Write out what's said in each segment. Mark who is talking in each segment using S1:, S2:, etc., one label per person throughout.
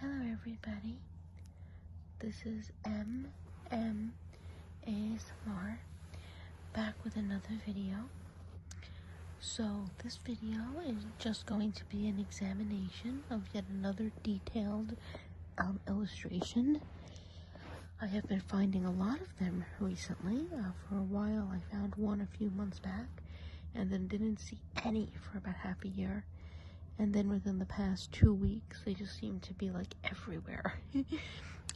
S1: Hello, everybody. This is M M ASMR back with another video. So this video is just going to be an examination of yet another detailed um, illustration. I have been finding a lot of them recently. Uh, for a while, I found one a few months back, and then didn't see any for about half a year. And then within the past two weeks, they just seem to be like everywhere.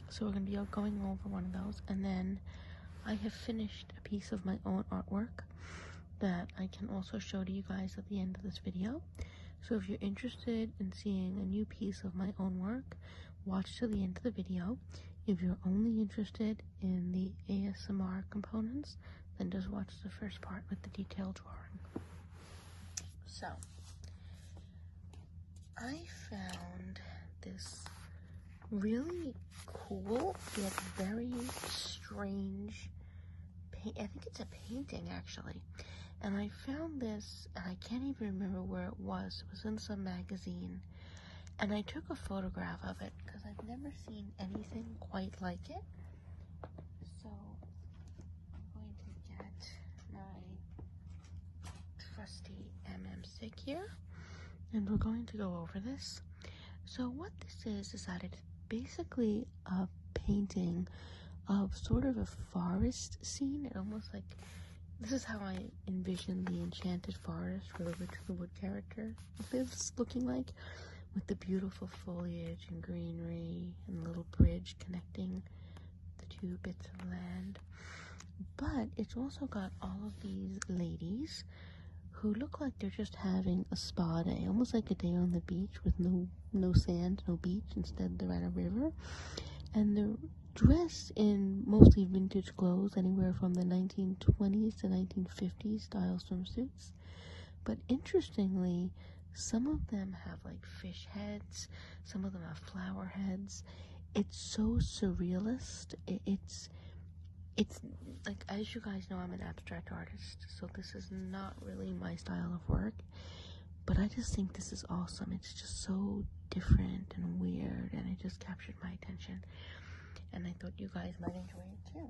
S1: so we're going to be going over one of those. And then I have finished a piece of my own artwork that I can also show to you guys at the end of this video. So if you're interested in seeing a new piece of my own work, watch to the end of the video. If you're only interested in the ASMR components, then just watch the first part with the detailed drawing. So, I found this really cool yet very strange I think it's a painting actually. And I found this, and I can't even remember where it was. It was in some magazine and I took a photograph of it because I've never seen anything quite like it. So I'm going to get my trusty MM stick here and we're going to go over this. So what this is is that it's basically a painting of sort of a forest scene. It almost like this is how I envisioned the enchanted forest for the Witch of the Wood character lives looking like with the beautiful foliage and greenery and little bridge connecting the two bits of land. But it's also got all of these ladies who look like they're just having a spa day, almost like a day on the beach with no no sand, no beach. Instead, they're at a river, and they're dressed in mostly vintage clothes, anywhere from the 1920s to 19. 1950s style swimsuits. But interestingly, some of them have like fish heads, some of them have flower heads. It's so surrealist. it's it's like as you guys know I'm an abstract artist, so this is not really my style of work. But I just think this is awesome. It's just so different and weird and it just captured my attention. And I thought you guys might enjoy it too.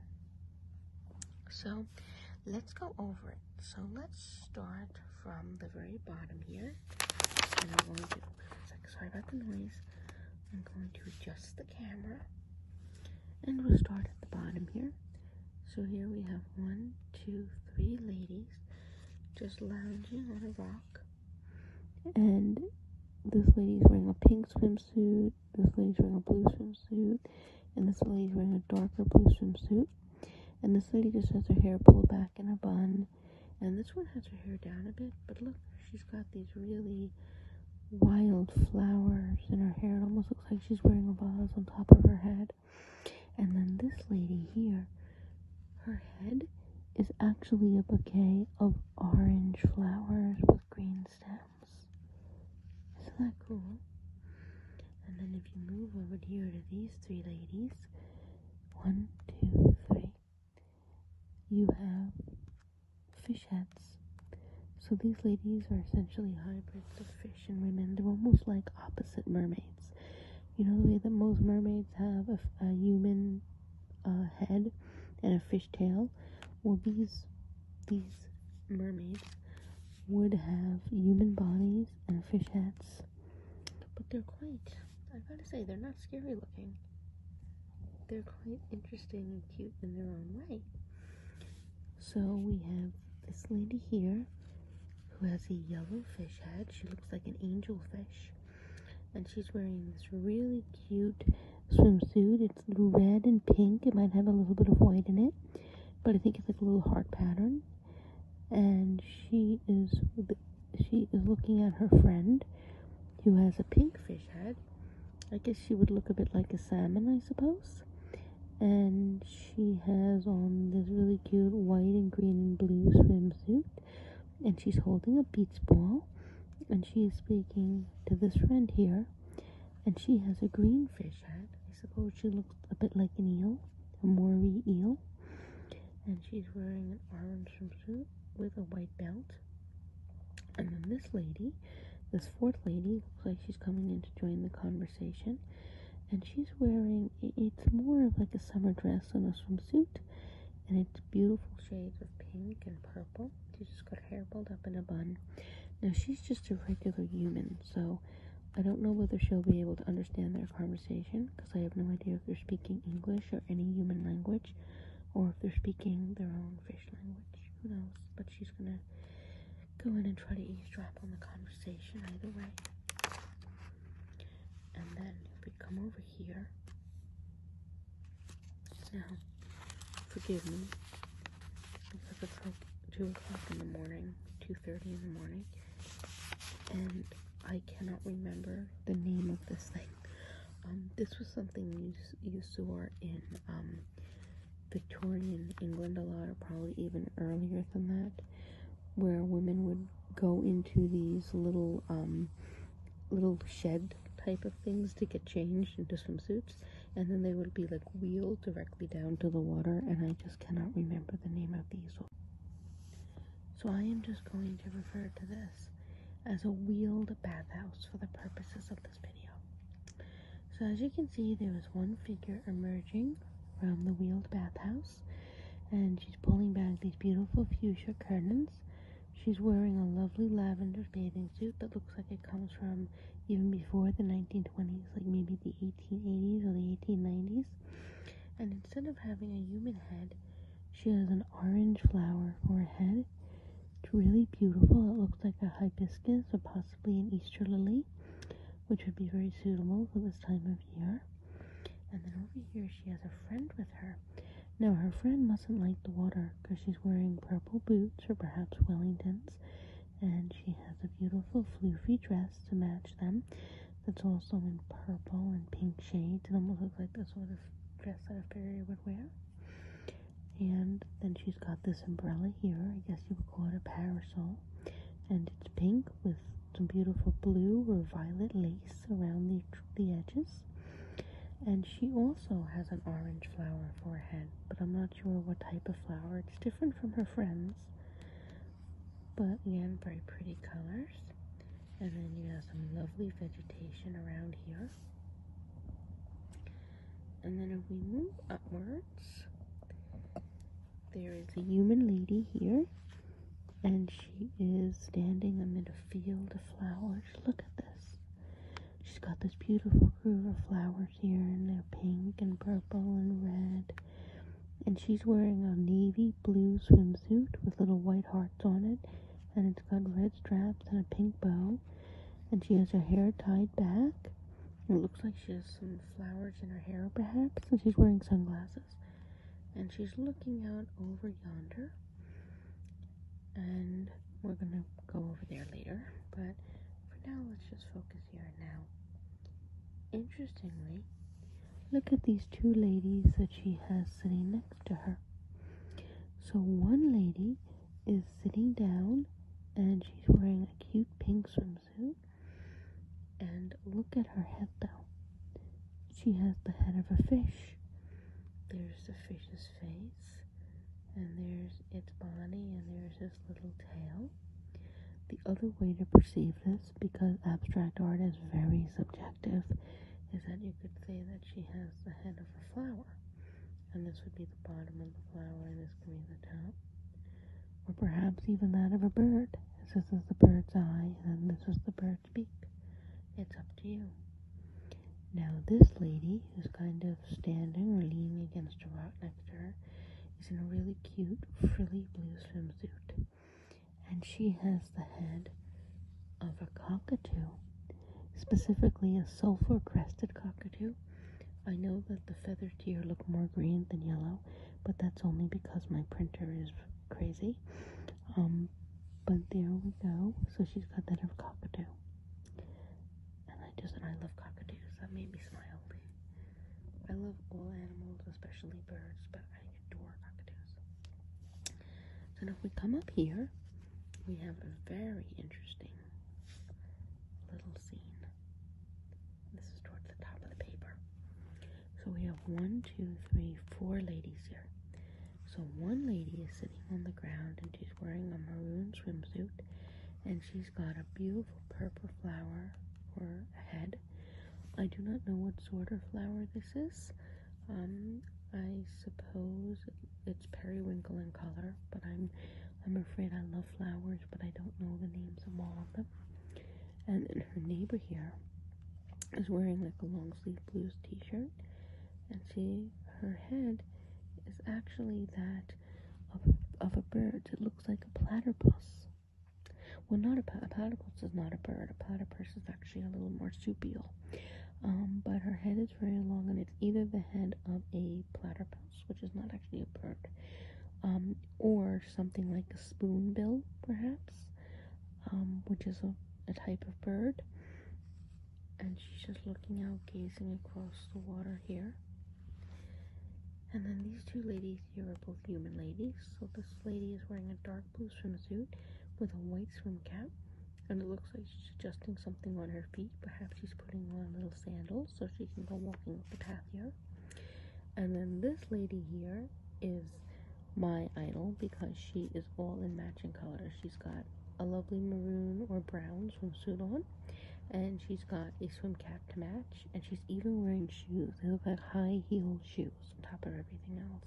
S1: So let's go over it. So let's start from the very bottom here. And I'm going to, sorry about the noise. I'm going to adjust the camera. And we'll start at the bottom here. So here we have one, two, three ladies just lounging on a rock. And this lady is wearing a pink swimsuit swimsuit. This lady's wearing a blue swimsuit. And this lady's wearing a darker blue swimsuit. And this lady just has her hair pulled back in a bun. And this one has her hair down a bit. But look, she's got these really wild flowers in her hair. It almost looks like she's wearing a vase on top of her head. And then this lady here, her head is actually a bouquet of orange flowers with green stems. Isn't that cool? And then if you move over here to these three ladies, one, two, three, you have fish heads. So these ladies are essentially hybrids of fish and women. They're almost like opposite mermaids. You know the way that most mermaids have a, human uh, head and a fish tail? Well, these these mermaids would have human bodies and fish heads, but they're quite, I gotta say, they're not scary looking. They're quite interesting and cute in their own way. So we have this lady here who has a yellow fish head. She looks like an angel fish. And she's wearing this really cute swimsuit. It's red and pink. It might have a little bit of white in it, but I think it's like a little heart pattern. And she is she is looking at her friend, who has a pink fish head. I guess she would look a bit like a salmon, I suppose. And she has on this really cute white and green and blue swimsuit, and she's holding a beach ball, and she is speaking to this friend here and she has a green fish head. I suppose she looks a bit like an eel, a moray eel. And she's wearing an orange swimsuit with a white belt. And then this lady, this fourth lady, looks like she's coming in to join the conversation. And she's wearing, it's more of like a summer dress than a swimsuit. And it's beautiful shades of pink and purple. She just got her hair pulled up in a bun. Now, she's just a regular human, so I don't know whether she'll be able to understand their conversation because I have no idea if they're speaking English or any human language or if they're speaking their own fish language. Who knows? But she's gonna go in and try to eavesdrop on the conversation either way. And then we come over here, now, forgive me because it's like two o'clock in the morning, two thirty in the morning, and I cannot remember the name of this thing. Um, this was something you you saw in um, Victorian England a lot, or probably even earlier than that, where women would go into these little um, little shed type of things to get changed into swimsuits and then they would be like wheeled directly down to the water and I just cannot remember the name of these. So I am just going to refer to this as a wheeled bathhouse for the purposes of this video. So as you can see there is one figure emerging from the wheeled bathhouse and she's pulling back these beautiful fuchsia curtains. She's wearing a lovely lavender bathing suit that looks like it comes from even before the 1920s, like maybe the 1880s or the 1890s. And instead of having a human head, she has an orange flower for a head. It's really beautiful. It looks like a hibiscus or possibly an Easter lily, which would be very suitable for this time of year. And then over here, she has a friend with her. Now, her friend mustn't like the water because she's wearing purple boots or perhaps Wellingtons, and she has a beautiful floofy dress to match them that's also in purple and pink shades. and almost looks like the sort of dress that a fairy would wear. And then she's got this umbrella here, I guess you would call it a parasol, and it's pink with some beautiful blue or violet lace around the, the edges. And she also has an orange flower for a head, but I'm not culture or what type of flower. It's different from her friends, but again, very pretty colors. And then you have some lovely vegetation around here. And then if we move upwards, there is a human lady here, and she is standing amid a field of flowers. Look at this. She's got this beautiful groove of flowers here and they're pink and purple and red. And she's wearing a navy blue swimsuit with little white hearts on it. And it's got red straps and a pink bow. And she has her hair tied back. It looks like she has some flowers in her hair, perhaps. And she's wearing sunglasses. And she's looking out over yonder. And we're gonna go over there later, but for now, let's just focus here now. Interestingly, look at these two ladies that she has sitting next to her. So, one lady is sitting down and she's wearing a cute pink swimsuit. And look at her head though. She has the head of a fish. There's the fish's face and there's its body, and there's this little tail. The other way to perceive this, because abstract art is very subjective, is that you could say that she has the head of a flower, and this would be the bottom of the flower, and this could be the top, or perhaps even that of a bird. This is the bird's eye, and this is the bird's beak. It's up to you. Now, this lady, who's kind of standing or leaning against a rock next to her, is in a really cute frilly blue swimsuit. And she has the head of a cockatoo, specifically a sulfur crested cockatoo. I know that the feather tier look more green than yellow, but that's only because my printer is crazy. Um, but there we go. So she's got that of cockatoo and I just and I love cockatoos. That made me smile. I love all animals, especially birds, but I adore cockatoos. So if we come up here, we have a very interesting little scene. This is towards the top of the paper. So we have one, two, three, four ladies here. So one lady is sitting on the ground and two wearing a maroon swimsuit and she's got a beautiful purple flower for a head. I do not know what sort of flower this is. Um, I suppose it's periwinkle in color, but I'm I'm afraid I love flowers, but I don't know the names of all of them. And then her neighbor here is wearing like a long sleeve blues t-shirt and she her head is actually that of a, of a bird it looks like a platypus. Well, not a, platypus is not a bird. A platypus is actually a little marsupial. Um, but her head is very long, and it's either the head of a platypus, which is not actually a bird, um, or something like a spoonbill, perhaps, um, which is a, a type of bird. And she's just looking out, gazing across the water here. And then these two ladies here are both human ladies. So this lady is wearing a dark blue swimsuit with a white swim cap. And it looks like she's adjusting something on her feet. Perhaps she's putting on little sandals so she can go walking up the path here. And then this lady here is my idol because she is all in matching colors. She's got a lovely maroon or brown swimsuit on, and she's got a swim cap to match, and she's even wearing shoes. They look like high heel shoes on top of everything else.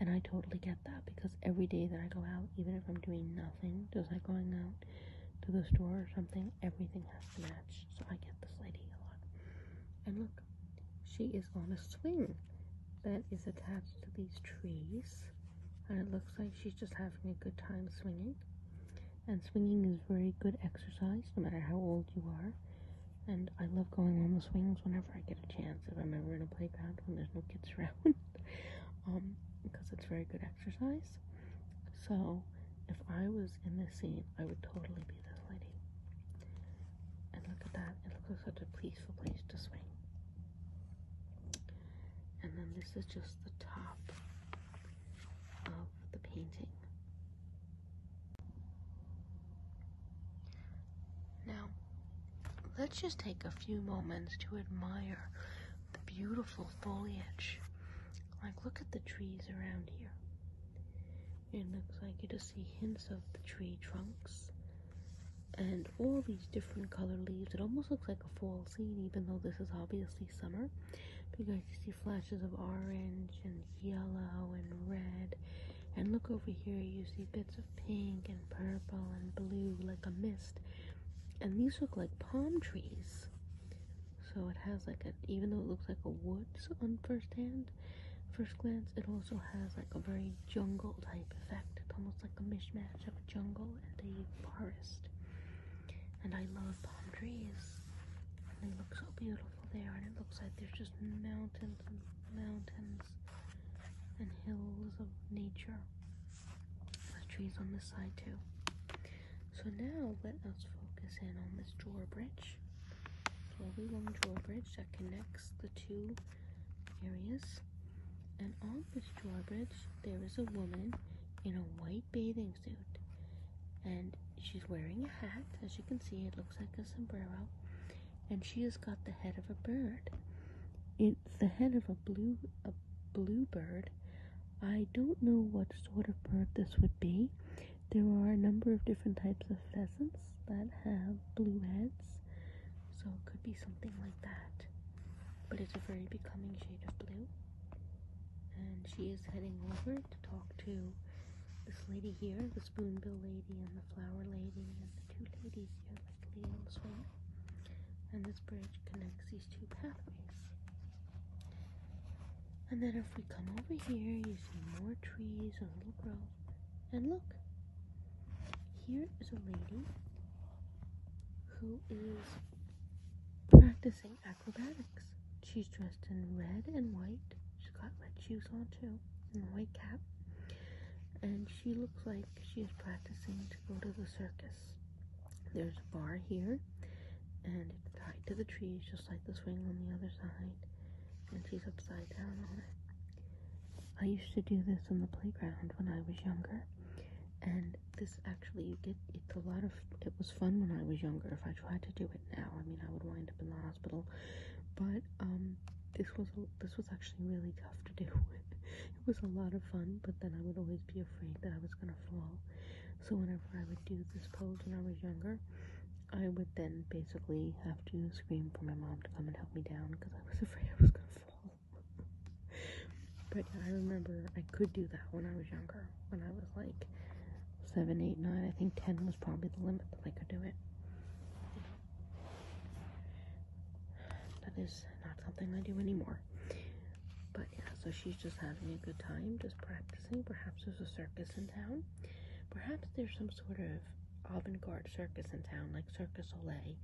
S1: And I totally get that because every day that I go out, even if I'm doing nothing, just like going out to the store or something, everything has to match. So I get this lady a lot. And look, she is on a swing that is attached to these trees and it looks like she's just having a good time swinging. And swinging is very good exercise no matter how old you are. And I love going on the swings whenever I get a chance. If I'm ever in a playground when there's no kids around, um, because it's very good exercise. So, if I was in this scene, I would totally be this lady. And look at that. It looks like such a peaceful place to swing. And then this is just the top of the painting. Now, let's just take a few moments to admire the beautiful foliage. Like, look at the trees around here. It looks like you just see hints of the tree trunks and all these different colored leaves. It almost looks like a fall even though this is obviously summer, because you see flashes of orange and yellow and red. And look over here, you see bits of pink and purple and blue, like a mist. And these look like palm trees. So it has like a, even though it looks like a woods on first hand, first glance, it also has like a very jungle type effect. It's almost like a mishmash of jungle and a forest and I love palm trees. they look so beautiful there, and it looks like there's just mountains and mountains and hills of nature. The trees on the side too. So now let us focus in on this drawbridge, lovely long drawbridge that connects the two areas. And on this drawbridge, there is a woman in a white bathing and she's wearing a hat as you can see it looks like a sombrero and she has got the head of a bird it's the head of a blue a blue bird i don't know what sort of bird this would be there are a number of different types of pheasants that have blue heads so it could be something like that but it's a very becoming shade of blue and she is heading over to talk to this lady here, the spoonbill lady and the flower lady and the two ladies here, like Lady and Swan. And this bridge connects these two pathways. And then if we come over here, you see more trees and little grove. And look, here is a lady who is practicing acrobatics. She's dressed in red and white. She's got red shoes on too, and a white cap. And she looks like she is practicing to go to the circus. There's a bar here, and it's tied to the trees, just like the swing on the other side. And she's upside down on it. I used to do this on the playground when I was younger, and this actually you get it's a lot of it was fun when I was younger. If I tried to do it now, I mean I would wind up in the hospital. But um, this was this was actually really tough to do. it was a lot of fun, but then I would always be afraid that I was gonna fall. So whenever I would do this pose when I was younger, I would then basically have to scream for my mom to come and help me down because I was afraid I was gonna fall. But I remember I could do that when I was younger. When I was like seven, eight, nine, I think ten was probably the limit that I could do it. That is not something I do anymore. But yeah, so she's just having a good time, just practicing. Perhaps there's a circus in town. Perhaps there's some sort of avant-garde circus in town, like Circus Soleil,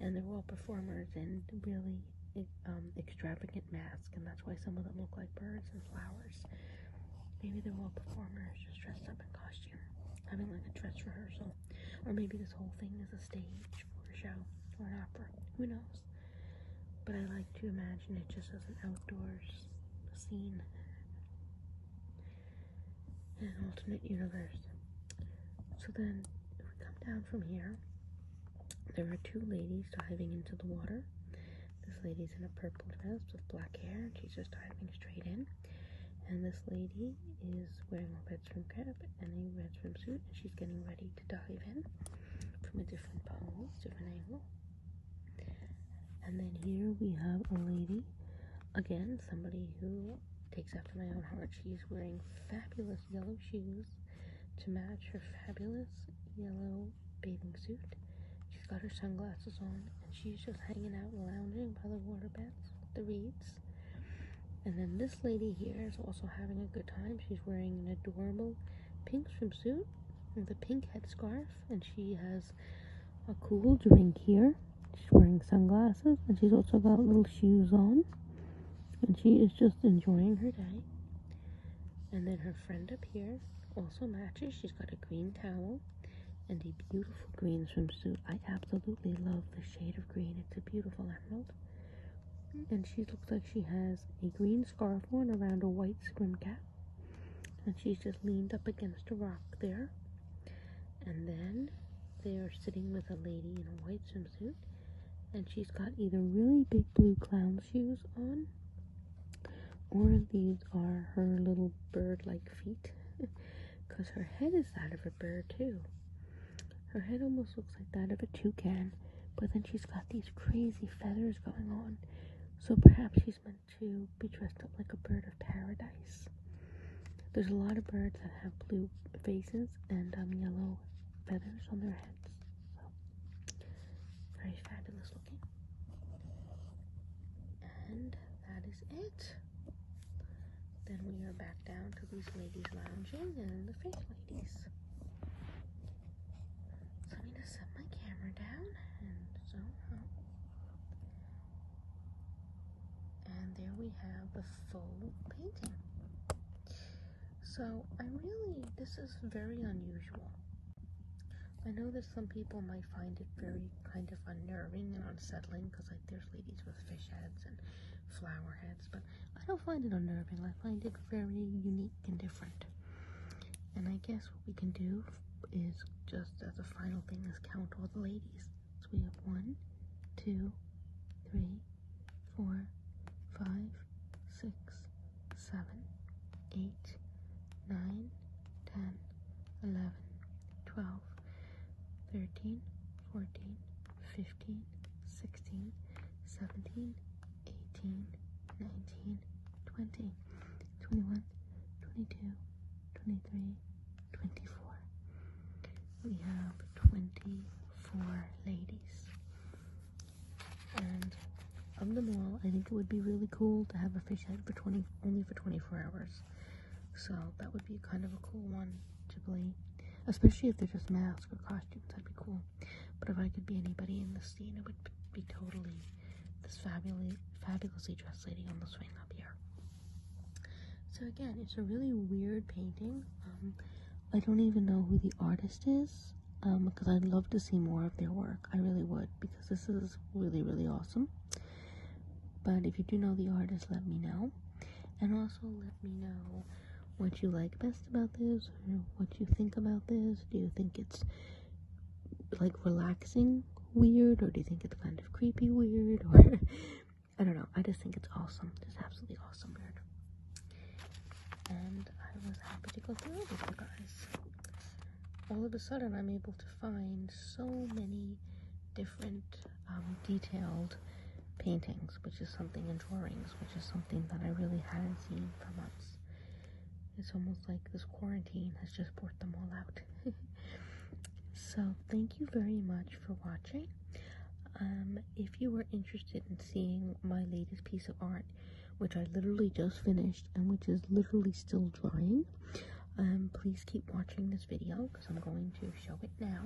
S1: and they're all performers and really um, extravagant mask, and that's why some of them look like birds and flowers. Maybe they're all performers just dressed up in costume, having like a dress rehearsal. Or maybe this whole thing is a stage for a show or an opera. Who knows? But I like to imagine it just as an outdoors scene. In an alternate universe. So then, we come down from here, there are two ladies diving into the water. This lady is in a purple dress with black hair, she's just diving straight in. And this lady is wearing a red swim and a red swimsuit, and she's getting ready to dive in from a different pose, different angle. And then here we have a lady, again, somebody who takes after my own heart. She's wearing fabulous yellow shoes to match her fabulous yellow bathing suit. She's got her sunglasses on and she's just hanging out lounging by the waterbeds, the reeds. And then this lady here is also having a good time. She's wearing an adorable pink swimsuit with a pink headscarf and she has a cool drink here. She's wearing sunglasses and she's also got little shoes on. And she is just enjoying her day. And then her friend up here also matches. She's got a green towel and a beautiful green swimsuit. I absolutely love the shade of green. It's a beautiful emerald. And she looks like she has a green scarf worn around a white swim cap. And she's just leaned up against a rock there. And then they are sitting with a lady in a white swimsuit and she's got either really big blue clown shoes on or these are her little bird like feet because her head is that of a bird too her head almost looks like that of a toucan but then she's got these crazy feathers going on so perhaps she's meant to be dressed up like a bird of paradise there's a lot of birds that have blue faces and um, yellow feathers on their sense. very fabulous looking. And that is it. Then we are back down to these ladies lounging and the face ladies. So I'm set my camera down and zoom And there we have the full painting. So I really, this is very unusual. I know that some people might find it very kind of unnerving and unsettling because like there's ladies with fish heads and flower heads, but I don't find it unnerving. I find it very unique and different. And I guess what we can do is just as a final thing is count all the ladies. So we have one, two, three, four, five, six, seven, eight, nine, ten, eleven, twelve, thirteen, fourteen, fifteen, sixteen, seventeen, eighteen, nineteen, twenty, twenty-one, twenty-two, twenty-three, twenty-four. We have twenty-four ladies. And of them all, I think it would be really cool to have a fish head for 20 only for 24 hours. So that would be kind of a cool one to play, especially if they're just masks or costumes. That'd be cool. But if I could be anybody in the scene, it would be totally this fabulously dressed lady on the swing up here. So again, it's a really weird painting. Um, I don't even know who the artist is because um, I'd love to see more of their work. I really would because this is really, really awesome. But if you do know the artist, let me know. And also let me know what you like best about this what you think about this. Do you think it's like relaxing weird or do you think it's kind of creepy weird or I don't know. I just think it's awesome. Just absolutely awesome weird and I was happy to go through it with you guys. All of a sudden, I'm able to find so many different um, detailed paintings, which is something in drawings, which is something that I really hadn't seen for months. It's almost like this quarantine has just brought them all out. so, thank you very much for watching. Um, if you are interested in seeing my latest piece of art, which I literally just finished and which is literally still drying. Um, please keep watching this video because I'm going to show it now.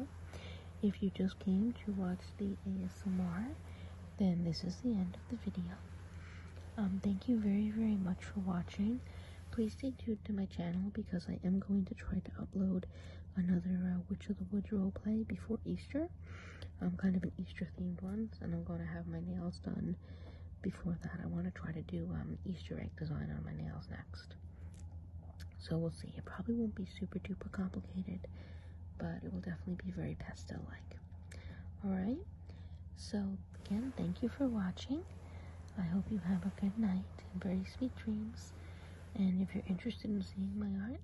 S1: If you just came to watch the ASMR, then this is the end of the video. Um, thank you very, very much for watching. Please stay tuned to my channel because I am going to try to upload another uh, Witch of the Woods roleplay before Easter. I'm kind of an Easter themed ones, and I'm going to have my nails done before that. I want to try to do um, Easter egg design on my nails next. So we'll see. It probably won't be super duper complicated, but it will definitely be very pastel like. Alright, so again, thank you for watching. I hope you have a good night and very sweet dreams. And if you're interested in seeing my art,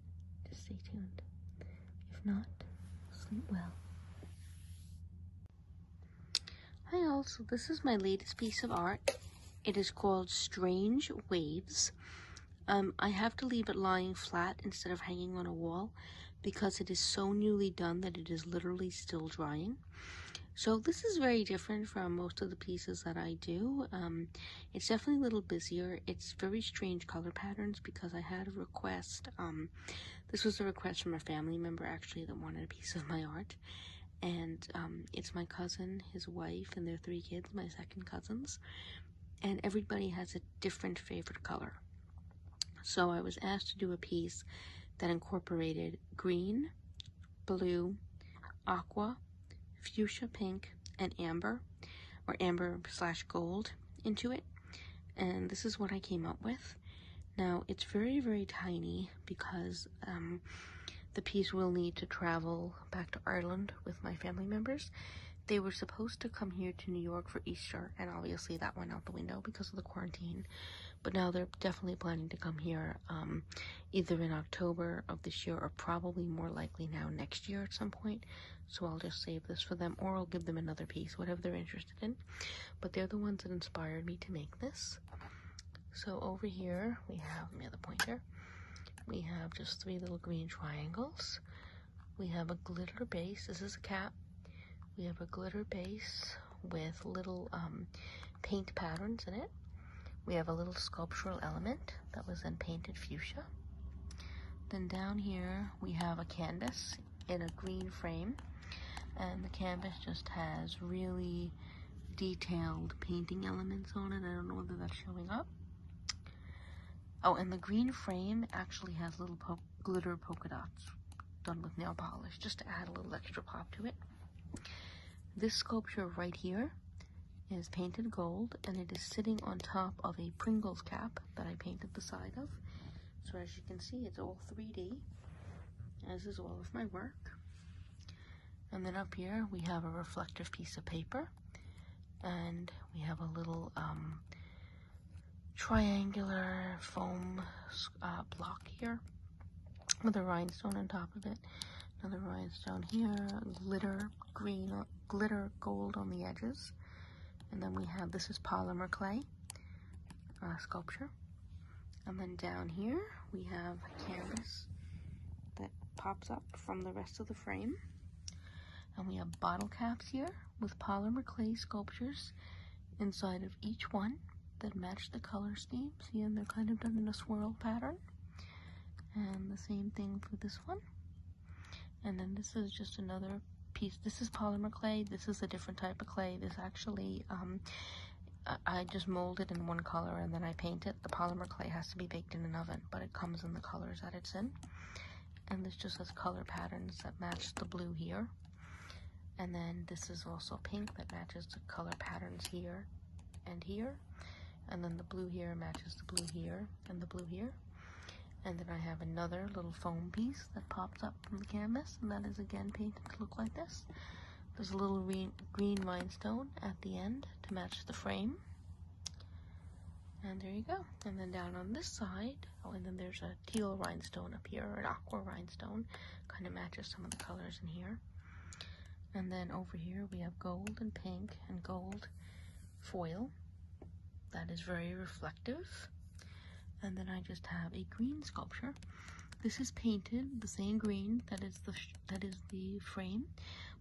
S1: just stay tuned. If not, sleep well. Hi all, so this is my latest piece of art. It is called Strange Waves. Um, I have to leave it lying flat instead of hanging on a wall because it is so newly done that it is literally still drying. So this is very different from most of the pieces that I do. Um, it's definitely a little busier. It's very strange color patterns because I had a request um, this was a request from a family member actually that wanted a piece of my art, and um, it's my cousin, his wife, and their three kids, my second cousins, and everybody has a different favorite color. So I was asked to do a piece that incorporated green, blue, aqua, fuchsia pink, and amber, or amber slash gold into it and this is what I came up with. Now, it's very, very tiny because um, the piece will need to travel back to Ireland with my family members. They were supposed to come here to New York for Easter, and obviously that went out the window because of the quarantine. But now they're definitely planning to come here um, either in October of this year or probably more likely now next year at some point. So I'll just save this for them or I'll give them another piece, whatever they're interested in. But they're the ones that inspired me to make this. So over here we have, let me pointer. We have just three little green triangles. We have a glitter base. This is a cap. We have a glitter base with little um, paint patterns in it. We have a little sculptural element that was then painted fuchsia. Then down here we have a canvas in a green frame and the canvas just has really detailed painting elements on it. I don't know whether that's showing up. Oh, and the green frame actually has little glitter polka dots done with nail polish just to add a little extra pop to it. This sculpture right here is painted gold and it is sitting on top of a Pringles cap that I painted the side of so as you can see, it's all 3D, as is all of my work. And then up here, we have a reflective piece of paper, and we have a little um, triangular foam uh, block here with a rhinestone on top of it. Another rhinestone here, glitter green, uh, glitter gold on the edges. And then we have, this is polymer clay uh, sculpture. And then down here, we have canvas that pops up from the rest of the frame. And we have bottle caps here with polymer clay sculptures inside of each one that match the color scheme. and they're kind of done in a swirl pattern. And the same thing for this one. And then this is just another piece. This is polymer clay. This is a different type of clay. This actually, um, I just mold it in one color and then I paint it. The polymer clay has to be baked in an oven, but it comes in the colors that it's in. And this just has color patterns that match the blue here. And then this is also pink that matches the color patterns here and here. And then the blue here matches the blue here and the blue here. And then I have another little foam piece that pops up from the canvas, and that is again painted to look like this. There's a little green rhinestone at the end to match the frame. And there you go. And then down on this side, oh, and then there's a teal rhinestone up here, an aqua rhinestone. Kind of matches some of the colors in here. And then over here we have gold and pink and gold foil. That is very reflective. And then I just have a green sculpture. This is painted the same green that is the that is the frame,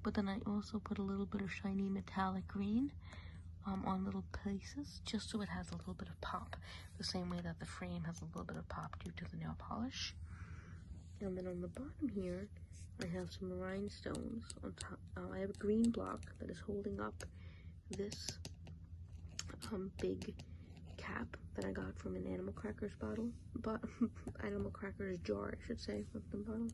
S1: but then I also put a little bit of shiny metallic green um, on little places just so it has a little bit of pop, the same way that the frame has a little bit of pop due to the nail polish. And then on the bottom here, I have some rhinestones on top. Uh, I have a green block that is holding up this um, big cap that I got from an Animal Crackers bottle, but Animal Crackers jar, I should say, from the bottle.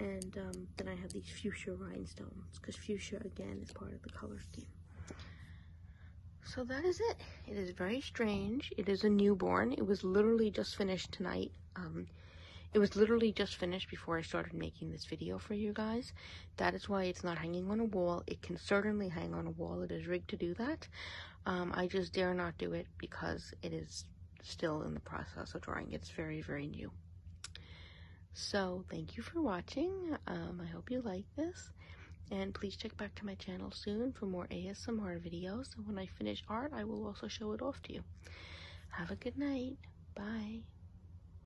S1: And um, then I have these fuchsia rhinestones, because fuchsia, again, is part of the color scheme. So that is it. It is very strange. It is a newborn. It was literally just finished tonight. Um, it was literally just finished before I started making this video for you guys. That is why it's not hanging on a wall. It can certainly hang on a wall. It is rigged to do that. Um, I just dare not do it because it is still in the process of drawing. It's very, very new. So thank you for watching. Um, I hope you like this. And please check back to my channel soon for more ASMR videos. And when I finish art, I will also show it off to you. Have a good night. Bye.